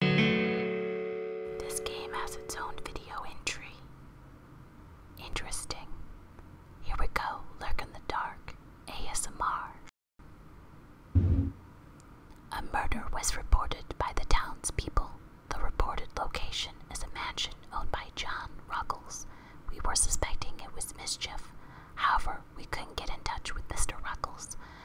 This game has its own video entry. Interesting. Here we go, Lurk in the Dark, ASMR. A murder was reported by the townspeople. The reported location is a mansion owned by John Ruggles. We were suspecting it was mischief. However, we couldn't get in touch with Mr. Ruggles,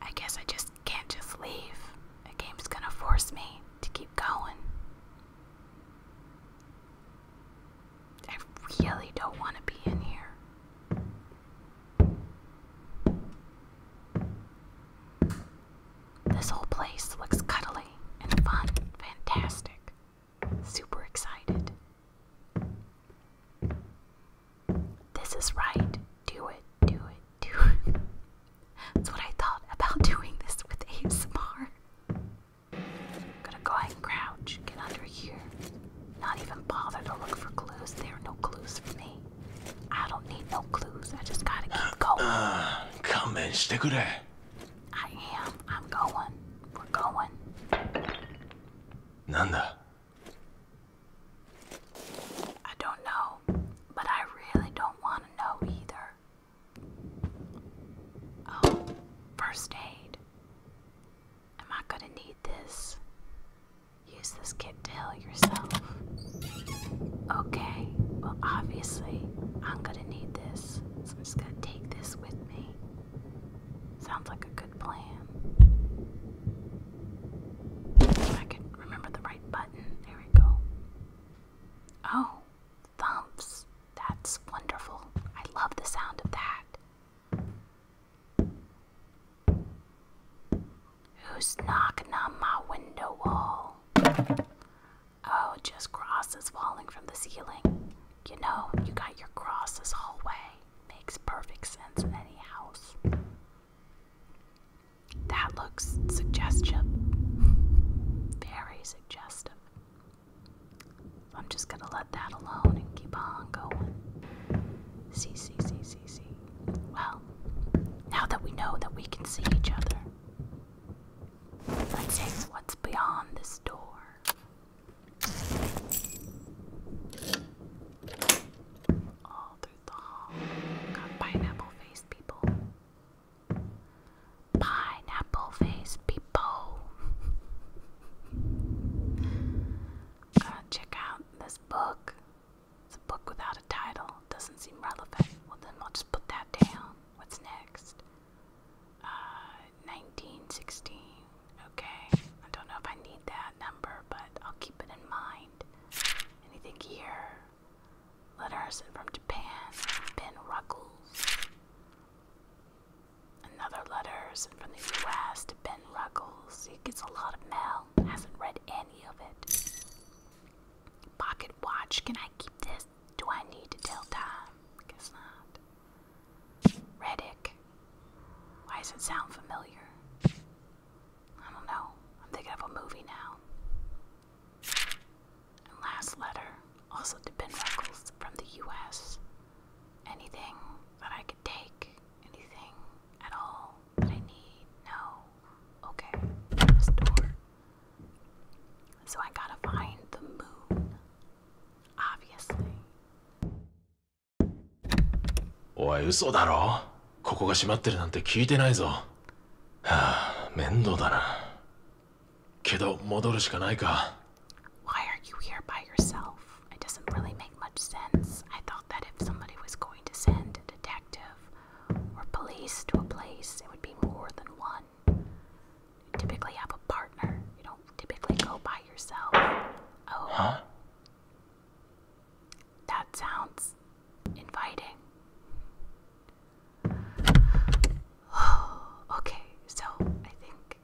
I guess I just can't just leave. The game's gonna force me to keep going. I really don't want to be in here. This whole place looks cuddly and fun, fantastic, super excited. This is right. Do it, do it, do it. That's what I thought about doing this with ASMR. Gonna go ahead and crouch, get under here. Not even bother to look for clues. There are no clues for me. I don't need no clues. I just gotta keep come and stick with that. I am. I'm going. We're going. Nanda. I don't know, but I really don't want to know either. Oh, first aid. Am I gonna need this? Use this kit to help yourself. Okay, well, obviously, I'm gonna need this, so I'm just gonna take this with me. Sounds like a good plan. If I can remember the right button. There we go. Oh, thumps. That's wonderful. I love the sound of that. Who's knocking on my window wall? Oh, just crosses falling from the ceiling. You know, you got your crosses hallway. Makes perfect sense in any house. That looks suggestive. Very suggestive. I'm just gonna let that alone and keep on going. See, see, see, see, see. Well, now that we know that we can see each other, let's see what's beyond this door. All through the hall. Got pineapple faced people. Pineapple faced people. uh, check out this book. It's a book without a title. Doesn't seem relevant. Well, then we'll just put that down. What's next? Uh, 1916. Okay, I don't know if I need that number, but I'll keep it in mind. Anything here? Letters from Japan, Ben Ruggles. Another letters from the U.S. Ben Ruggles. He gets a lot of mail. Hasn't read any of it. Pocket watch. Can I keep this? Do I need to tell time? Guess not. Reddick. Why does it sound familiar? I don't know. I'm thinking of a movie now. last letter, also to Ben Ruckles from the US. Anything that I could take, anything at all that I need. No. Okay. This So I gotta find the moon. Obviously. おい嘘だろここが閉まってるなんて聞いてないぞはあ面倒だなけど戻るしかないか Why are you here by yourself? It doesn't really make much sense. I thought that if somebody was going to send a detective or police to a place, it would be more than one. You typically have a partner. You don't typically go by yourself. Oh. Huh? That sounds inviting. okay, so I think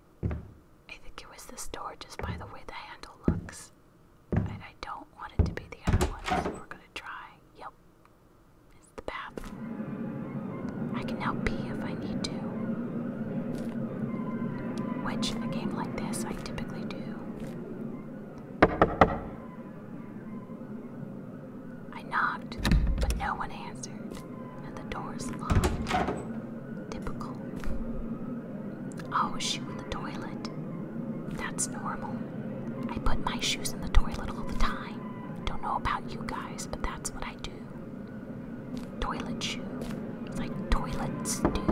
I think it was this door just by the way the handle looks. And I don't want it to be the other one, so we're gonna try. Yep. It's the bathroom. I can help pee if I need to. Which, in a game like this, I typically do. I knocked, but no one answered, and the door is locked. Typical. I always oh, shoe in the toilet. That's normal. I put my shoes in the toilet all the time. Don't know about you guys, but that's what I do. Toilet shoe. Like toilets do.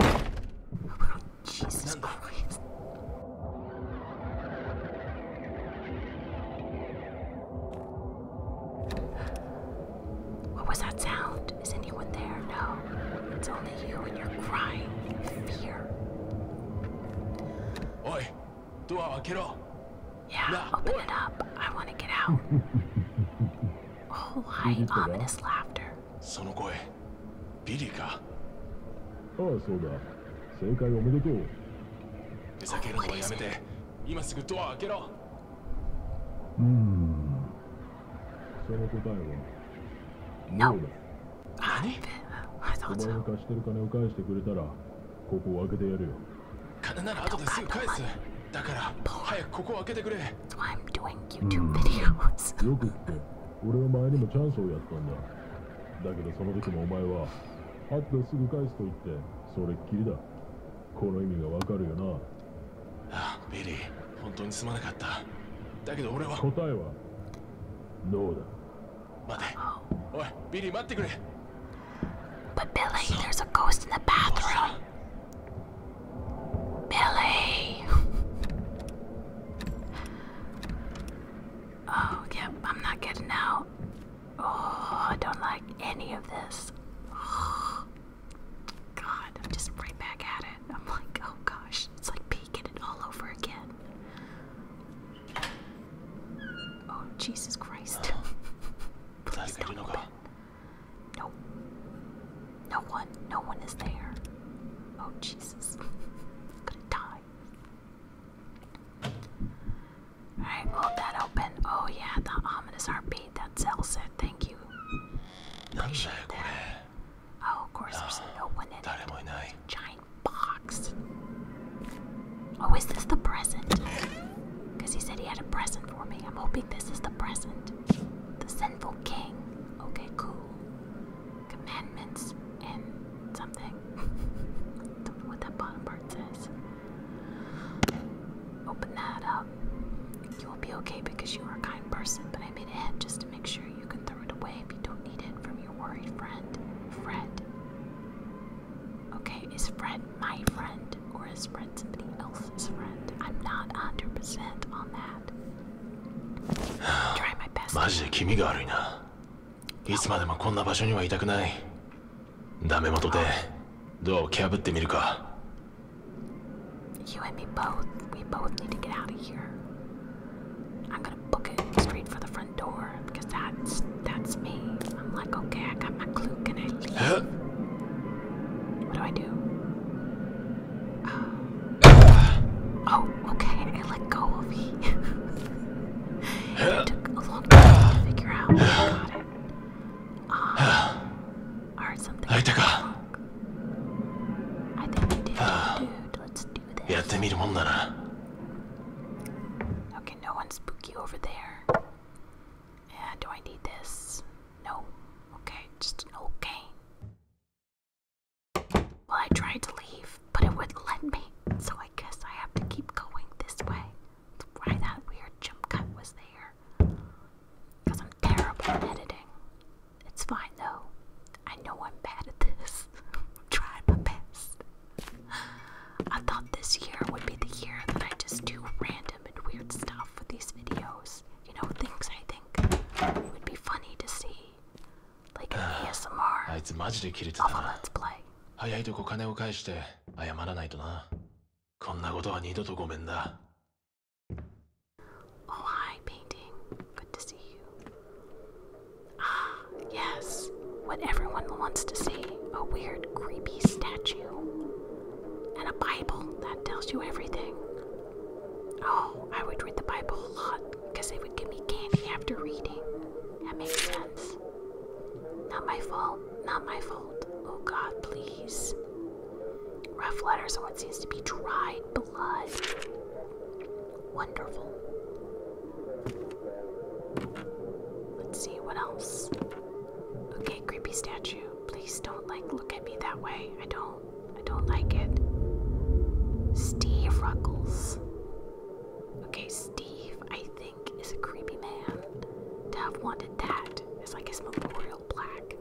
Oh, Jesus Christ. What was that sound? Is anyone there? No. It's only you and your crying fear. Oi, door, get Yeah, open it up. I want t get out. Oh, high o m i n その声、ビリか。ああ、そうだ。正解おめでとう。ふざけるのはやめて。今すぐドア開けろ。うん。その答えは。No. I t h お前が貸してる金を返してくれたら、ここを開けてやるよ金な後ですぐ返すだから早くここを開けてくれ、よくって俺は前にもチャンスをやったんだだけどその時もお前は会ってすぐ返すと言ってそれっきりだこの意味がわかるよなあリー本当にすまなかっただけど俺は答えはノーだ But Billy, there's a ghost in the bathroom. Billy! oh, yep, I'm not getting out. Oh, I don't like any of this. God, I'm just right back at it. I'm like, oh gosh, it's like peeking it all over again. Oh, Jesus Christ. Oh. Please don't open. Nope. No one. No one is there. Oh, Jesus. I'm gonna die. Alright, hold that open. Oh, yeah, the ominous R.P. That sells it. Thank you. Appreciate that. Oh, of course, there's no one in it. Giant box. Oh, is this the present? Because he said he had a present for me. I'm hoping this is the present. The sinful king. Okay, cool. Commandments and something. what that bottom part says. Open that up. You will be okay because you are a kind person, but I made a head just to make sure you can throw it away if you don't need it from your worried friend, Fred. Okay, is Fred my friend or is Fred somebody else's friend? I'm not 100% on that. Try my best. マジで気味が悪いな。いつまでもこんな場所にはいたくない。ダメ元でドアを蹴破ってみるか。You and me both. We both need to get out of here. I'm gonna booking straight for the front door because that's that's me. I'm like, okay, I got my clue. Can I leave? Huh? What do I do? Uh, oh, okay. I let go of he. it took a long time to figure out. I got it. Um, I heard something. I think we did, uh. dude. Let's do this. Okay, can no one's spooky over there? Yeah, do I need this? No. Okay, just an old cane. Well, I tried to leave, but it wouldn't let me, so I guess I have to keep going this way. That's why that weird jump cut was there. Because I'm terrible at editing. It's fine though. I know I'm bad at this. I'm my best. I thought this year would be the year that I just do random and weird stuff with these videos. You know, things I think would be funny to see. Like an ASMR あいつマジでキレてたな。早いとこ金を返して謝らないとな。こんなことは二度とごめんだ。Oh hi, painting. Good to see you. Ah, yes, what everyone wants to see a weird, creepy statue. And a Bible that tells you everything. Oh, I would read the Bible a lot because they would give me candy after reading. That makes sense. Not my fault, not my fault. Oh God, please. Rough letters on what seems to be dried blood. Wonderful. Let's see what else. Okay, creepy statue. Please don't like look at me that way. I don't I don't like it. Steve Ruggles. Okay, Steve, I think, is a creepy man. To have wanted that is like his memorial plaque.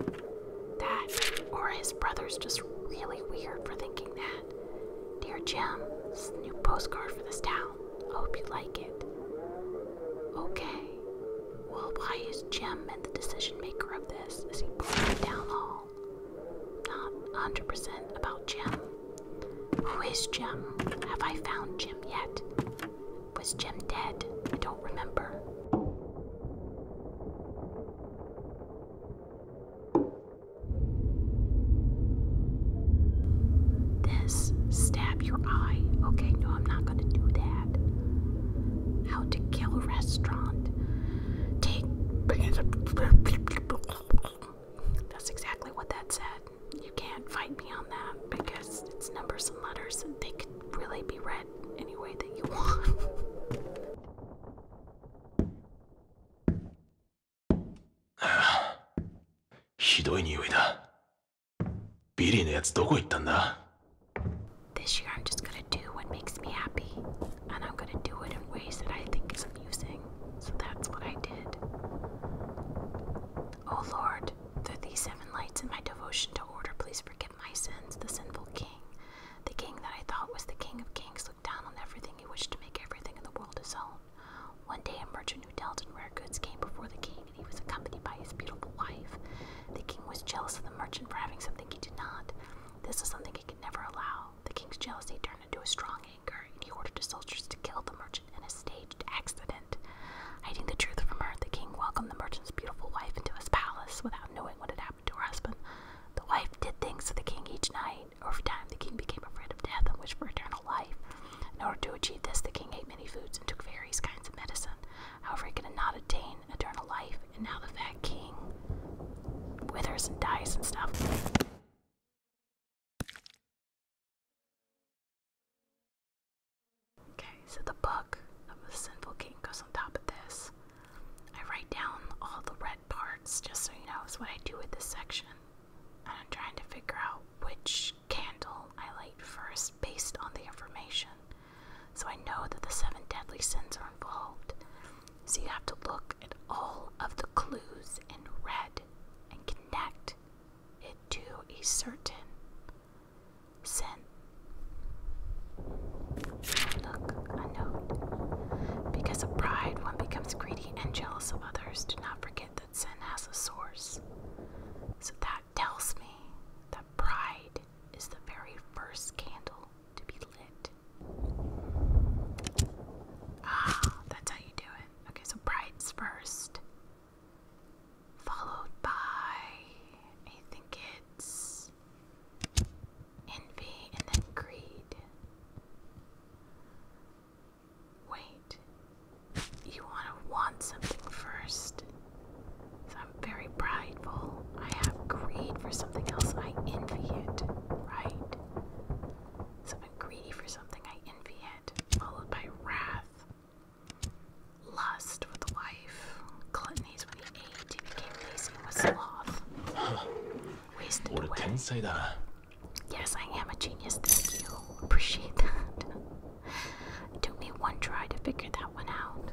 That or his brother's just really weird for thinking that. Dear Jim, this is a new postcard for this town. I hope you like it. Okay. Well, why is Jim and the decision maker of this? Is he pulling down the hall, Not 100% about Jim. Who is Jim? Have I found Jim yet? Was Jim dead? I don't remember. This stab your eye. Okay, no, I'm not gonna do that. How to kill restaurant. Take that's exactly what that said. You can't fight me on that because it's numbers and letters and they can really be read any way that you want. はあ、ひどい匂いだ。ビリーのやつどこ行ったんだ This year I'm just gonna do what makes me happy, and I'm gonna do it in ways that I think is amusing. So that's what I did. Oh Lord, through these seven lights in my devotion to order, please forgive my sins, the sinful king. The king that I thought was the king of kings looked down on everything he wished to make everything in the world his own. One day, a merchant who dealt in rare goods came before the king, and he was accompanied by his beautiful wife. The king was jealous of the merchant for having something he did not. This was something he could never allow. The king's jealousy turned into a strong anger, and he ordered his soldiers to kill the merchant in a staged accident. Hiding the truth from her, the king welcomed the merchant's beautiful wife into his palace without knowing what had happened to her husband. The wife did things to the king each night, over time, the king became afraid of death and wished for eternal life. In order to achieve this, the king ate many foods and took various kinds of medicine. However, he could not attain eternal life, and now the fat king withers and dies and stuff. Okay, so the book of the sinful king goes on top of this. I write down all the red parts just so you know is what I do with this section and I'm trying to figure out which candle I light first based on the information. So I know that the seven deadly sins are involved. So you have to look at all of the clues in red and connect it to a certain sin. Look, a note. Because of pride, one becomes greedy and jealous of others, do not forget that sin has a source. So that tells me that pride is the very first candle to be lit. Ah, that's how you do it. Okay, so pride's first, followed by, I think it's envy and then greed. Wait, you want to want something first. I'm very prideful. I have greed for something else. I envy it, right? So I'm greedy for something. I envy it, followed by wrath, lust with the wife, gluttony's when he ate, he became lazy and was sloth. Wasted away. Yes, I am a genius. Thank you. Appreciate that. it took me one try to figure that one out.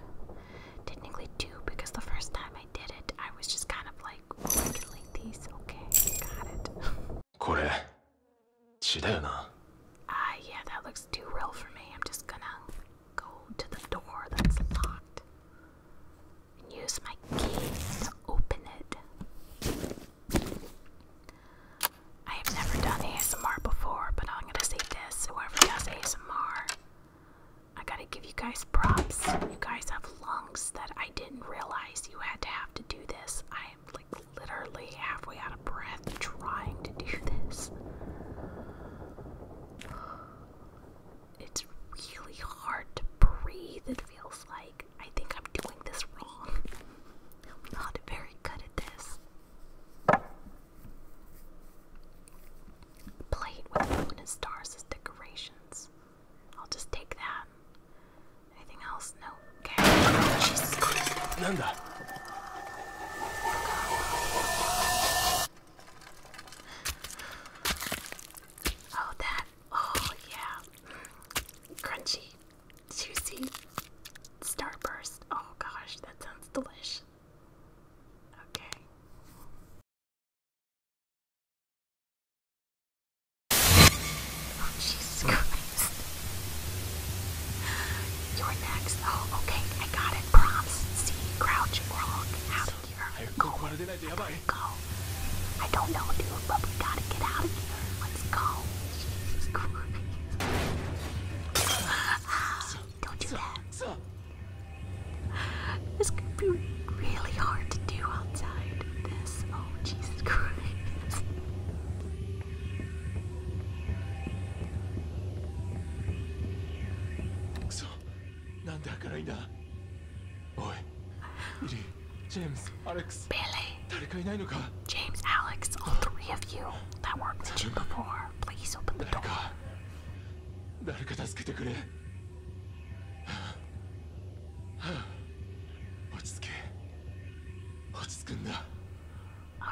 Technically, two, because the first time I did it, I was just kind of like, oh, I can link these. Okay, got it. これ血だよな。Ah, uh, yeah, that looks too real for me. I'm just gonna go to the door that's locked and use my key to open it. I have never done ASMR before, but I'm gonna say this whoever does ASMR, I gotta give you guys props. You guys have lungs that I didn't realize you had to have to do this. I am like literally halfway out of breath trying to do this it's really hard to breathe, it feels like. I think I'm doing this wrong. I'm not very good at this. Plate with moon and stars as decorations. I'll just take that. Anything else? No. Okay. Oh, Jesus Christ. Oh, that Oh, yeah. Crunchy, juicy, starburst. Oh, gosh, that sounds delicious. Okay. Oh, Jesus Christ. You're next. Oh, okay, I got it. Prompts. See, crouching rock. Out of here go. I don't know, dude, but we gotta get out of here. Let's go. Jesus Christ. don't do that. This could be really hard to do outside this. Oh, Jesus Christ. なんで開かないんだおいリリージェームスアレックス Billy 誰かいないのか James, Alex, all three of you that were before, please open the door 誰か誰か助けてくれ落ち着け落ち着くんだ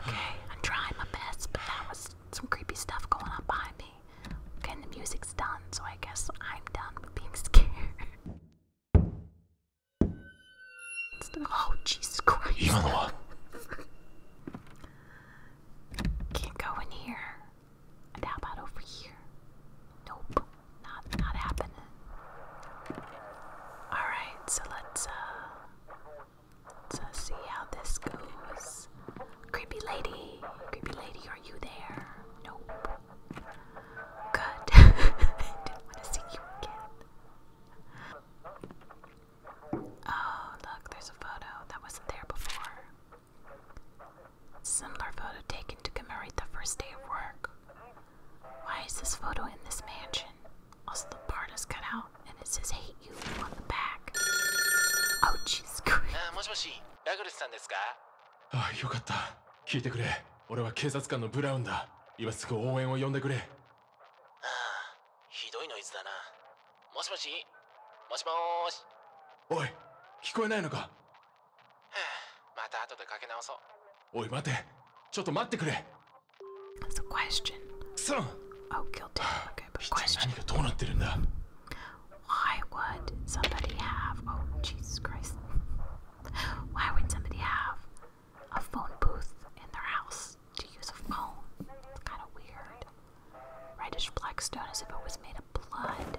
Okay, I'm trying my best, but that was some creepy stuff going on behind me. Okay, and the music's done, so I guess I'm done with being scared. Oh, Jesus Christ. Ivanova. Can't go in here. And how about over here? Nope. Not not happening. Alright, so let's uh let's uh, see how this goes. Creepy lady. Creepy lady, are you there? Nope. Good. Oh, look, there's a photo that wasn't there before. Similar photo taken to commemorate the first day of work. Why is this photo in this mansion? Also, the part is cut out and it says hate you on the back. Oh, jeez, great. Ah, もしもし、ラグルスさんですか? Oh, よかった。聞いてくれ俺は警察官のブラウンだ今すぐ応援を呼んでくれああひどいノイズだなもしもしもしもしおい聞こえないのか、また後でかけ直そうおい待てちょっと待ってくれさん何がどうなってるんだ Why would somebody have, oh Jesus Christ, why would somebody have a phone booth in their house to use a phone? It's kind of weird. Reddish black stone as if it was made of blood.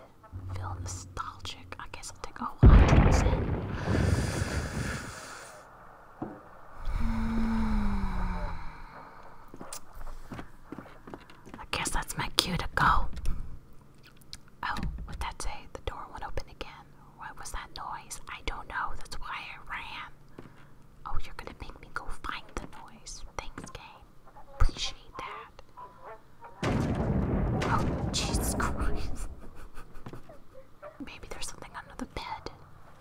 Feel nostalgic. I guess I'll take oh 100%. I guess that's my cue to go. Oh, what did that say? The door won't open again. What was that noise? I don't know. That's why I ran. Oh, you're gonna make me go find the noise. Thanks, game. Appreciate that. Oh, Jesus Christ. Maybe there's something under the bed.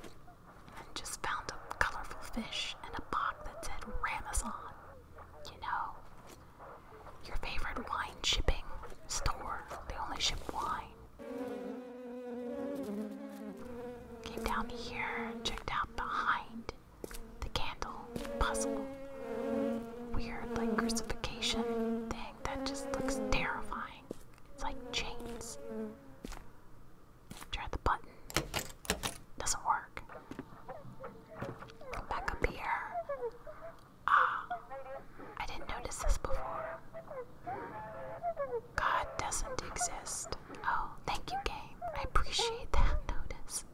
And just found a colorful fish and a box that said Ramazon. You know, your favorite wine shipping store. They only ship wine. Came down here, checked out behind the candle puzzle. Weird, like crucifixion thing that just looks terrifying. It's like chains. Try the button. Doesn't work back up here. Ah, I didn't notice this before. God doesn't exist. Oh, thank you, game. I appreciate that notice.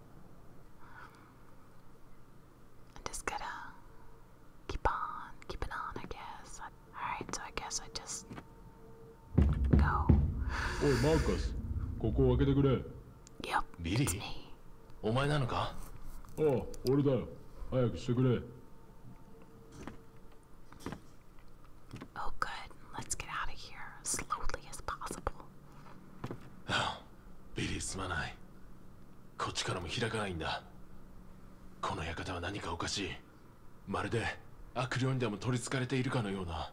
I'm just gonna keep on, keep it on, I guess. Alright, so I guess I just go. おい、マーカス、ここを開けてくれ。y e ビリーお前なのかおう、俺だよ。早くしてくれ。Oh, good. Let's get out of here slowly as possible. ビリー、すまない。こっちからも開かないんだ。この館は何かおかしい。まるで悪霊にでも取りつかれているかのような。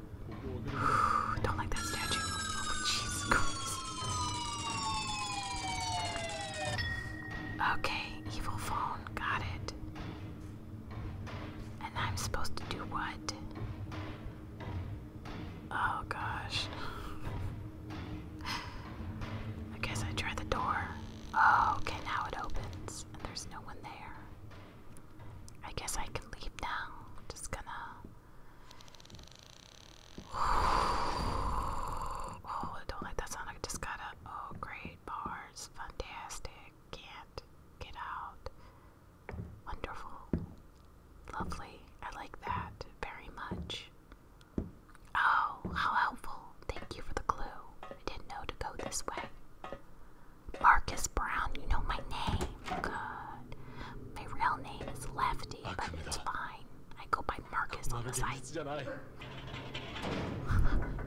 Don't like that statue. Oh, Okay, evil phone. Got it. And I'm supposed to do what? Oh, gosh. I guess I try the door. Oh, okay, now it opens. And there's no one there. I guess I can leave now. Just gonna. Oh, don't let that sound. I just gotta. Oh, great bars. Fantastic. Can't get out. Wonderful. Lovely. I like that very much. Oh, how helpful. Thank you for the clue. I didn't know to go this way. Marcus Brown, you know my name. My real name is Lefty, but it's fine. I go by Marcus on the side.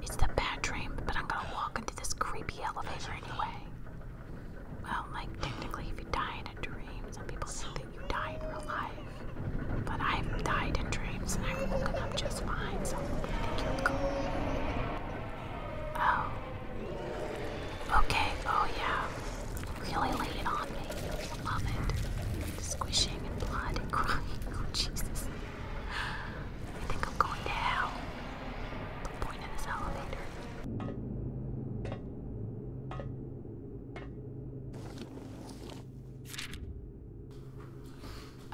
it's the bad dream, but I'm gonna walk into this creepy elevator anyway. Well, like, technically, if you die in a dream, some people think that you die in real life. But I've died in dreams and I've woken up just fine, so Oh. Okay, oh yeah. Really laid on me. Love it. Squishing and blood and crying. Oh Jesus. I think I'm going to The point in this elevator.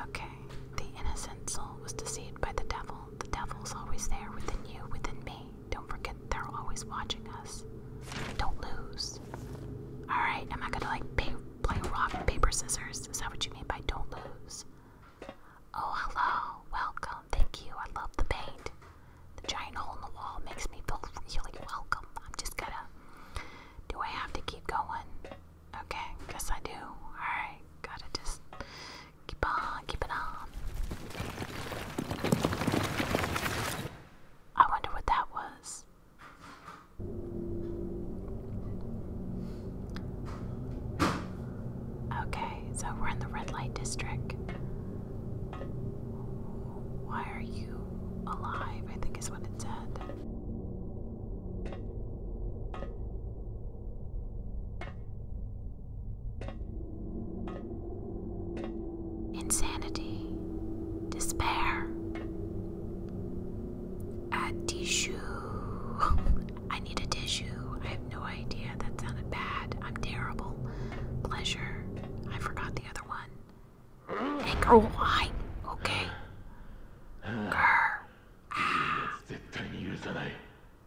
Okay, the innocent soul was deceived by the devil the devil's always there within you, within me. Don't forget they're always watching us. Don't lose. Alright, am I gonna like play rock, paper, scissors? Is that what you mean by don't lose? Oh, hello. Welcome. Thank you. I love the paint. The giant hole in the wall makes me feel really welcome. I'm just gonna. Do I have to keep going? Okay, guess I do. Alright, gotta just Keep on, keep it on. I wonder what that was. Okay, so we're in the red light district. Why are you alive? I think is what it said. Insanity, despair, a tissue. I need a tissue. I have no idea. That sounded bad. I'm terrible. Pleasure. I forgot the other one. Anger. Oh, I. Okay. Grr.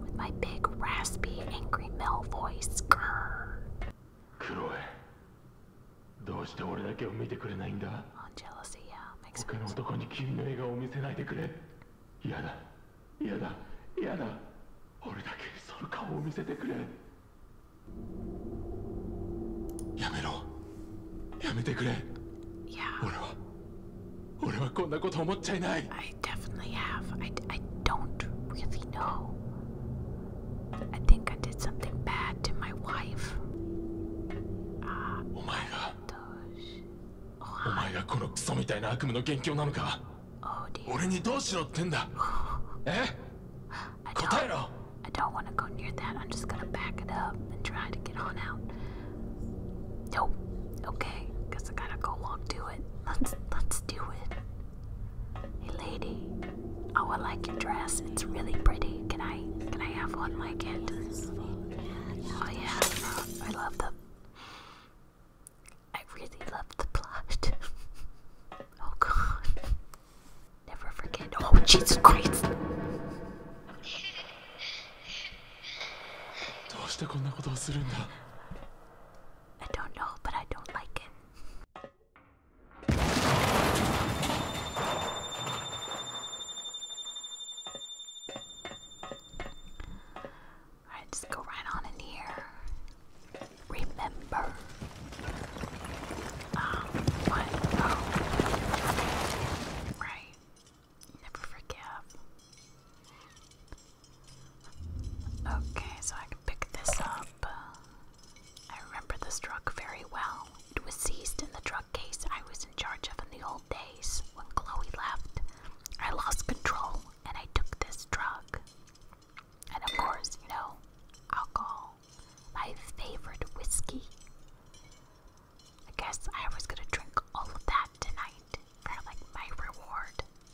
with my big, raspy, angry Mel voice. Grrr. クロエどうして俺だけを見てくれないんだ On jealousy, yeah, makes 他の sense. 男に君の笑顔を見せないでくれ嫌だ嫌だ嫌だ俺だけその顔を見せてくれやめろやめてくれ Yeah, 俺は俺はこんなこと思っちゃいない I I definitely have. I, I don't really know. I think I did something bad to my wife. oh my god. Oh my god, このクソみたいな悪夢の元凶なのか。俺にどうしろってんだ。え？答えろ。I gonna back it. Let's let's do it. Hey lady, oh I like your dress. It's really pretty. Can I can I have one like it? Oh yeah, I love the. I really love the plot. oh god, never forget. Oh Jesus Christ. どうしてこんなことをするんだ I don't know, but I don't like it. Alright, just go right on in here. Remember. Um, what? Oh. Right. Never forgive. Okay, so I can pick this up. I remember this truck very well. It was seized in the drug case I was in charge of in the old days. When Chloe left, I lost control and I took this drug. And of course, you know, alcohol. My favorite whiskey. I guess I was gonna drink all of that tonight for like my reward.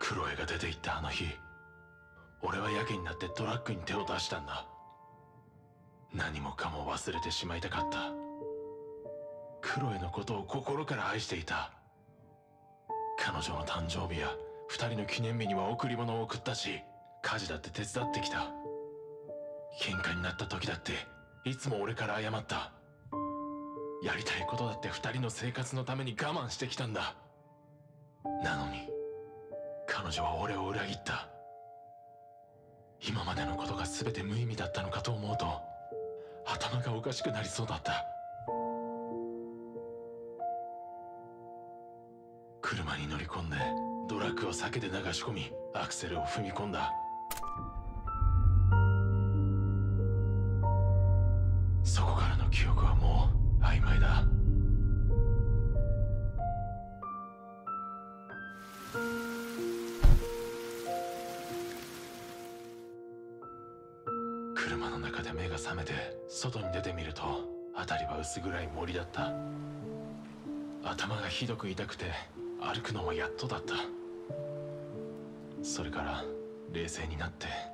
クロエが出て行ったあの日俺はやけになってトラックに手を出したんだ何もかも忘れてしまいたかったクロエのことを心から愛していた彼女の誕生日や2人の記念日には贈り物を送ったし家事だって手伝ってきた喧嘩になった時だっていつも俺から謝ったやりたいことだって2人の生活のために我慢してきたんだなのに彼女は俺を裏切った今までのことが全て無意味だったのかと思うと頭がおかしくなりそうだった車に乗り込んでドラッグを避けて流し込みアクセルを踏み込んだそこからの記憶はもう曖昧だ車の中で目が覚めて外に出てみると辺りは薄暗い森だった頭がひどく痛くて歩くのもやっとだったそれから冷静になって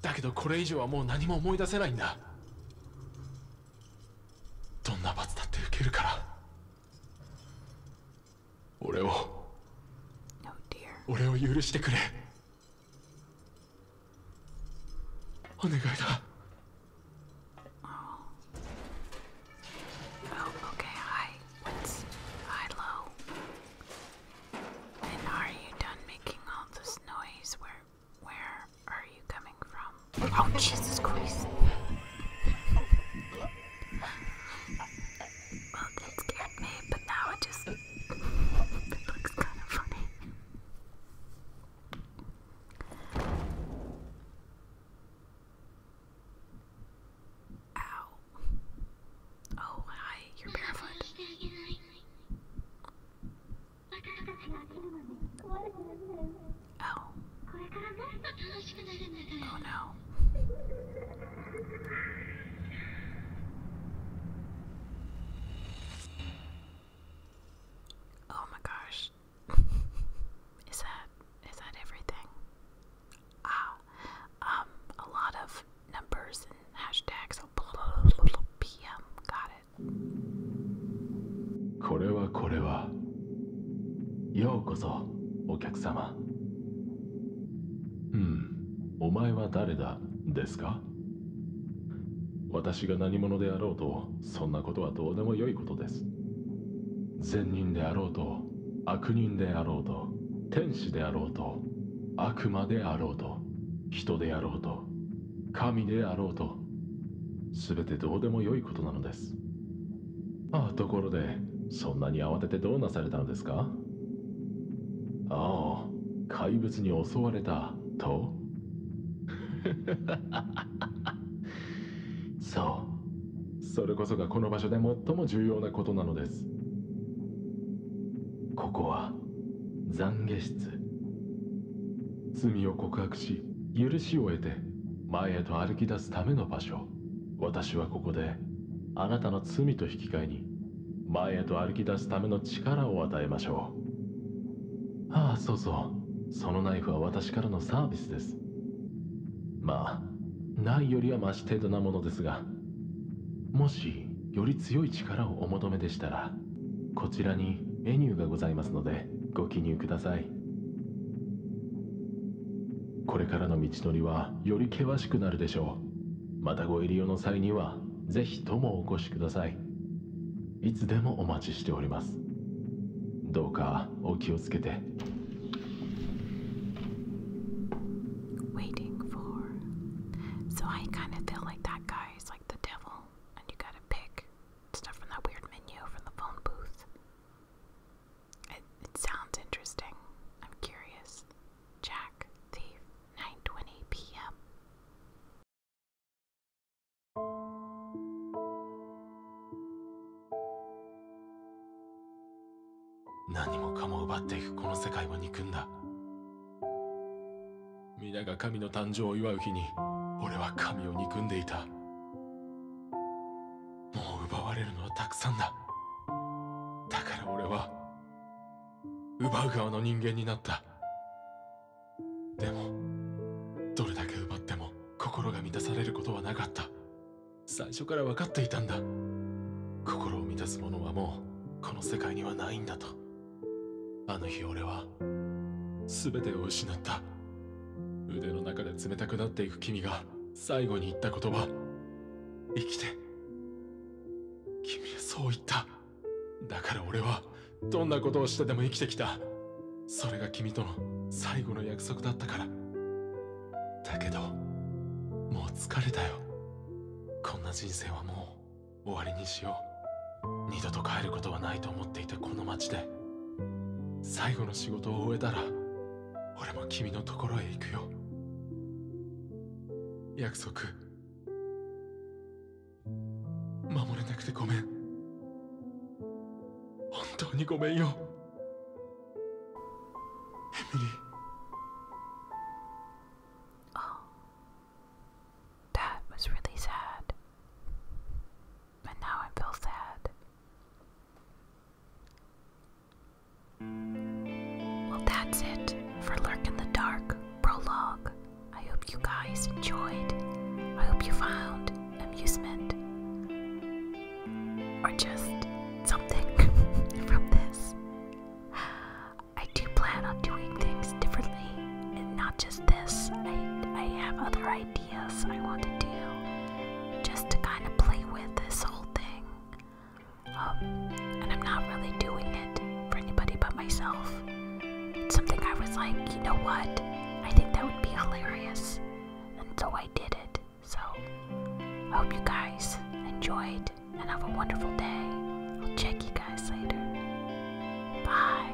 だけどこれ以上はもう何も思い出せないんだどんな罰だって受けるから俺を、no, 俺を許してくれお願いだ Oh, okay. Hi. What's high low? And are you done making all this noise? Where where are you coming from? Oh Jesus Christ. Well that scared me, but now it just looks kinda funny. Ow. Oh, hi, you're barefoot. Oh. Oh no. Oh my gosh. is that is that everything? Ah, um, a lot of numbers a n これはこれは。ようこそ、お客様。うん、お前は誰だですか私が何者であろうと、そんなことはどうでもよいことです。善人であろうと、悪人であろうと、天使であろうと、悪魔であろうと人であろうと神であろうと全てどうでもよいことなのですあところでそんなに慌ててどうなされたのですかああ怪物に襲われたと そうそれこそがこの場所で最も重要なことなのですここは懺悔室罪を告白し許しを得て前へと歩き出すための場所私はここであなたの罪と引き換えに前へと歩き出すための力を与えましょうああそうそうそのナイフは私からのサービスですまあないよりはマシ程度なものですがもしより強い力をお求めでしたらこちらにメニューがございますのでご記入くださいこれからの道のりはより険しくなるでしょうまたご入り用の際にはぜひともお越しくださいいつでもお待ちしておりますどうかお気をつけて Waiting for. like that guy is like the devil, and you gotta pick stuff from that weird menu from the phone booth. It, sounds interesting. I'm curious. Jack, the 9:20 p.m. 皆が神の誕生を祝う日に俺は神を憎んでいたもう奪われるのはたくさんだだから俺は奪う側の人間になったでもどれだけ奪っても心が満たされることはなかった最初から分かっていたんだ心を満たすものはもうこの世界にはないんだとあの日俺は全てを失った腕の中で冷たくなっていく君が最後に言った言葉生きて君はそう言っただから俺はどんなことをしてでも生きてきたそれが君との最後の約束だったからだけどもう疲れたよこんな人生はもう終わりにしよう二度と帰ることはないと思っていたこの町で最後の仕事を終えたら俺も君のところへ行くよ約束守れなくてごめん本当にごめんよエミリー That was really sad. And now I feel sad. Well, that's it for Lurk in the Dark Prologue. I hope you guys enjoyed. I hope you found amusement or just something from this. I do plan on doing things differently, and not just this. I, I have other ideas I want to do just to kind of play with this whole thing. Um, and I'm not really doing it for anybody but myself. It's something I was like, you know what? I think that would be hilarious. And so I did it. So I hope you guys enjoyed and have a wonderful day. I'll check you guys later. Bye.